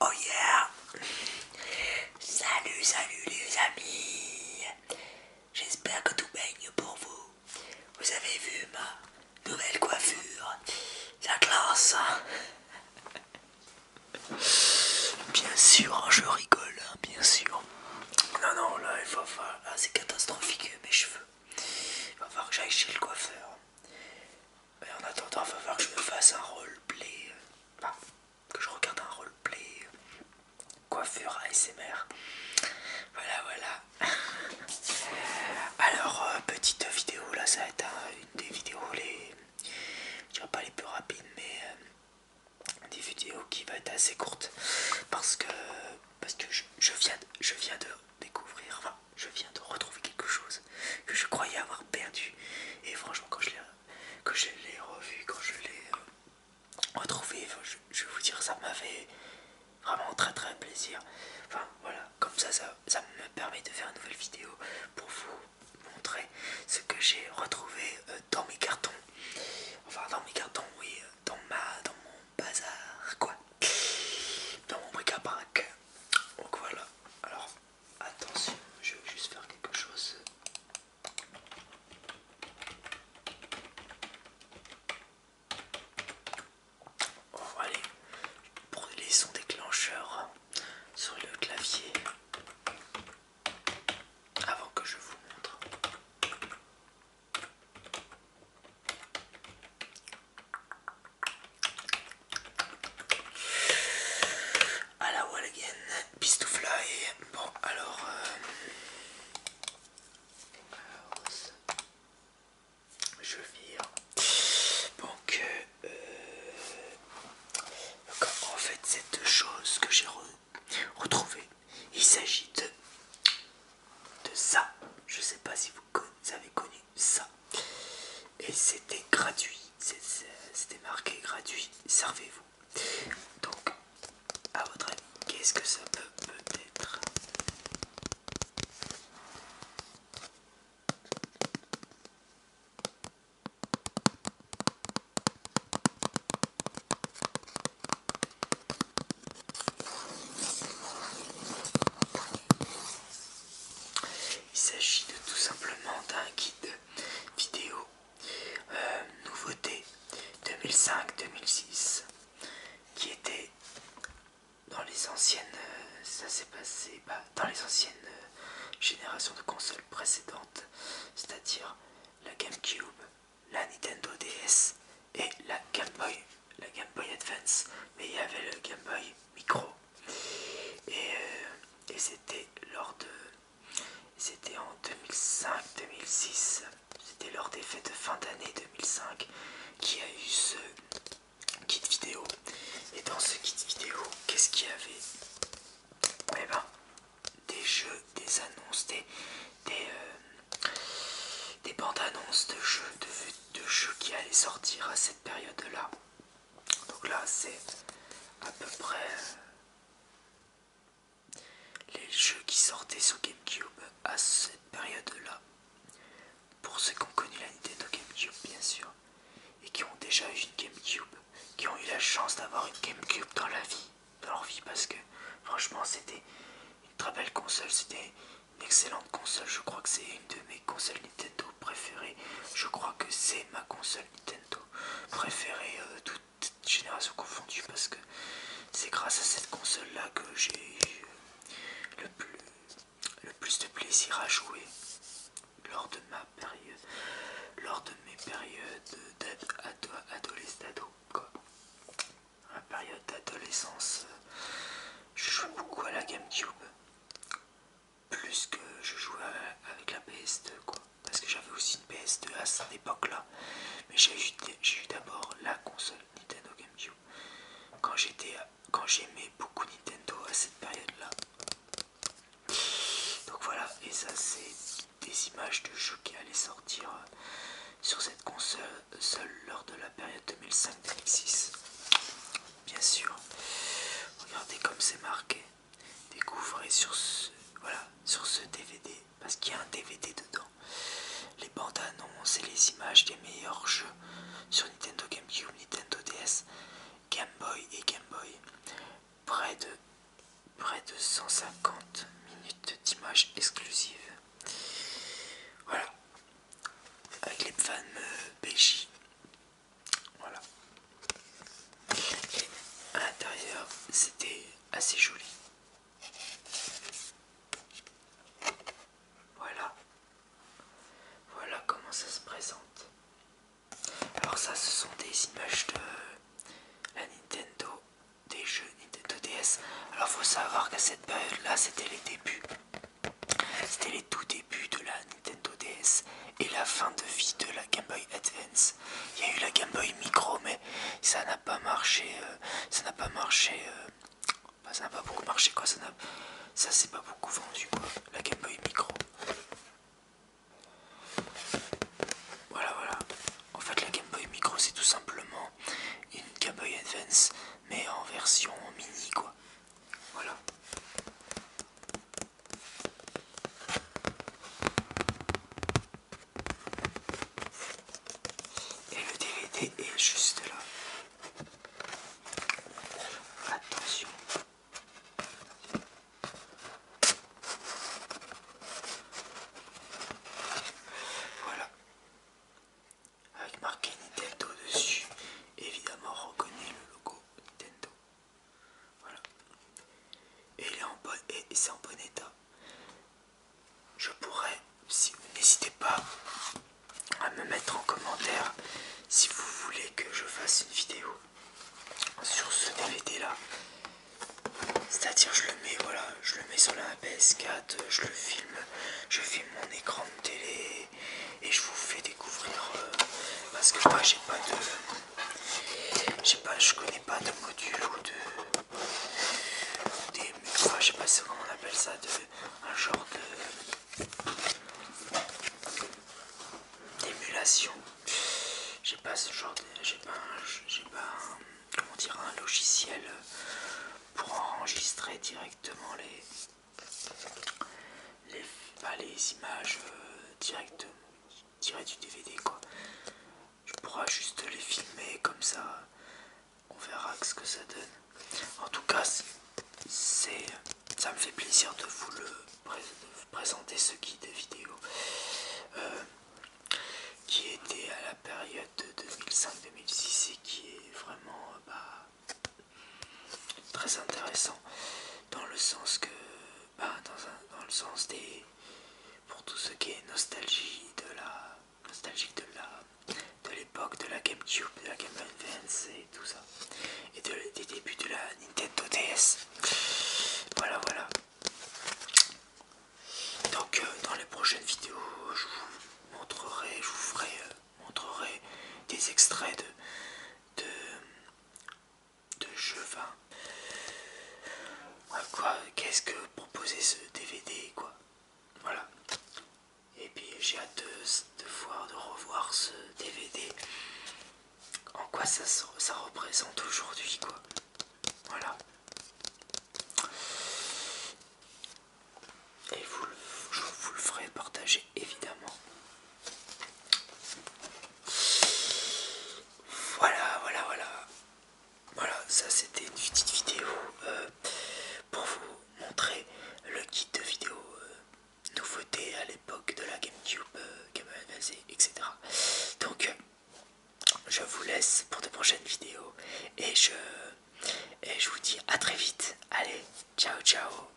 Oh yeah Salut, salut les amis J'espère que tout baigne pour vous. Vous avez vu ma nouvelle coiffure La classe hein? Bien sûr, hein, je rigole, hein, bien sûr. Non, non, là, il va falloir... Ah, c'est catastrophique mes cheveux. Il va falloir que j'aille chez le coiffeur en attendant, il va falloir que je me fasse un roleplay. Euh, enfin, que je regarde un roleplay euh, coiffure ASMR. Voilà, voilà. Alors, euh, petite vidéo, là, ça va être une des vidéos les. Je dirais pas les plus rapides, mais des vidéos qui vont être assez courtes parce que parce que je, viens je viens de découvrir je viens de retrouver quelque chose que je croyais avoir perdu. Et franchement, quand je l'ai revu, quand je l'ai euh, retrouvé, je, vais vous dire, ça m'a fait vraiment très très plaisir. Enfin voilà, comme ça, ça, me permet de faire une nouvelle vidéo pour vous montrer ce que j'ai retrouvé euh, dans mes cartons. Enfin, dans mes cartons, oui, euh, dans ma, dans mon bazar quoi dans mon bric à brac donc voilà alors attention je vais juste faire quelque chose on oh, va aller brûler son déclencheur sur le clavier avant que je vous montre à la wall again, fly Bon, alors. Euh, je vire. Donc, euh, en fait, cette chose que j'ai retrouver. Il s'agit de, ça. Je sais pas si vous, avez connu ça. Et c'était gratuit. C'était marqué gratuit. Servez-vous. Donc, à votre avis, qu'est-ce que ça peut peut-être il s'agit de tout simplement d'un guide vidéo euh, nouveauté 2005-2006 qui était dans les anciennes euh, ça s'est passé bah, dans les anciennes euh, générations de consoles précédentes c'est à dire la GameCube la Nintendo DS et la Game Boy, la Game Boy Advance, mais il y avait le Game Boy Micro. Et, euh, c'était lors de. C'était en 2005-2006, c'était lors des fêtes de fin d'année 2005 qui a eu ce kit vidéo. Et dans ce kit vidéo, qu'est-ce qu'il y avait Eh ben, des jeux, des annonces, des, euh, bandes annonces de jeux, de, jeux qui allaient sortir à cette période-là. Donc là, c'est à peu près euh, les jeux qui sortaient sur GameCube à cette période-là. Pour ceux qui ont connu la de GameCube, bien sûr et qui ont déjà eu une GameCube, qui ont eu la chance d'avoir une GameCube dans la vie, dans leur vie, parce que franchement c'était une très belle console, c'était une excellente console, je crois que c'est une de mes consoles Nintendo préférées, je crois que c'est ma console Nintendo préférée, euh, de toute, génération confondue, parce que c'est grâce à cette console là que j'ai eu le le plus de plaisir à jouer lors de ma période, lors de mes périodes d'adolescence, ado, quoi. période d'adolescence, euh, je joue beaucoup à la GameCube, plus que je jouais avec la PS2, quoi. Parce que j'avais aussi une PS2 à cette époque-là, mais j'ai eu, d'abord la console Nintendo GameCube. Quand j'étais, quand j'aimais beaucoup Nintendo à cette période-là, donc voilà, et ça c'est des images de jeux qui allaient sortir euh, sur cette console seule lors de la période 2005-2006. Bien sûr, regardez comme c'est marqué. Découvrez sur ce, voilà, sur ce DVD, parce qu'il y a un DVD dedans, les bandes annonces et les images des meilleurs jeux sur Nintendo GameCube, Nintendo DS Game Boy et Game Boy. Près de, près de 150 minutes d'images exclusives. Voilà. Avec les fans euh, BG. Voilà. à l'intérieur, c'était assez joli. Voilà. Voilà comment ça se présente. Alors ça, ce sont des images de la Nintendo, des jeux Nintendo DS. Alors faut savoir qu'à cette période-là, c'était les débuts. C'était les tout débuts de la Nintendo DS et la fin de vie de la Game Boy Advance. Il y a eu la Game Boy Micro, mais ça n'a pas marché. Euh, ça n'a pas marché. Euh, bah, ça n'a pas beaucoup marché quoi, ça, ça s'est pas beaucoup vendu quoi, la Game Boy Micro. Voilà, voilà. En fait, la Game Boy Micro, c'est tout simplement une Game Boy Advance, mais en version mini quoi. Voilà. Et le DVD est juste là. Attention. Voilà. Avec marqué Nintendo dessus, évidemment on reconnaît le logo Nintendo. Voilà. Et il est en bon, et c'est en bon état je pourrais, si, n'hésitez pas à me mettre en commentaire si vous voulez que je fasse une vidéo sur ce DVD là. C'est-à-dire je le mets voilà, je le mets sur la PS4, je le filme, je filme mon écran de télé et je vous fais découvrir euh, parce que moi j'ai pas de pas je connais pas de module ou de je sais pas comment on appelle ça de, un genre de d'émulation j'ai pas ce genre j'ai pas j'ai pas un, comment dire un logiciel pour enregistrer directement les les, bah, les images directes euh, directement du DVD quoi je pourrais juste les filmer comme ça on verra ce que ça donne en tout cas c'est ça me fait plaisir de vous le présenter ce guide vidéo euh, qui était à la période de 2005-2006 et qui est vraiment euh, bah, très intéressant dans le sens que bah, dans, dans le sens des pour tout ce qui est nostalgie de la nostalgie de la de l'époque de la GameCube, de la Game Advance et tout ça, et des débuts de la Nintendo DS. Voilà, voilà. Donc euh, dans les prochaines vidéos, je vous montrerai, je vous ferai euh, montrerai des extraits de, de de jeux. Ah, quoi, qu'est-ce que proposer ce DVD, quoi. Voilà. Et puis j'ai hâte de, voir, de revoir ce DVD. En quoi ça, ça représente aujourd'hui, quoi. Voilà. Et vous, je vous le ferai partager évidemment. Voilà, voilà, voilà. Voilà, ça c'était une petite vidéo euh, pour vous montrer le kit de vidéo euh, nouveauté à l'époque de la GameCube, euh, etc. Donc, je vous laisse pour de prochaines vidéos et je, et je vous dis à très vite. Allez, ciao, ciao.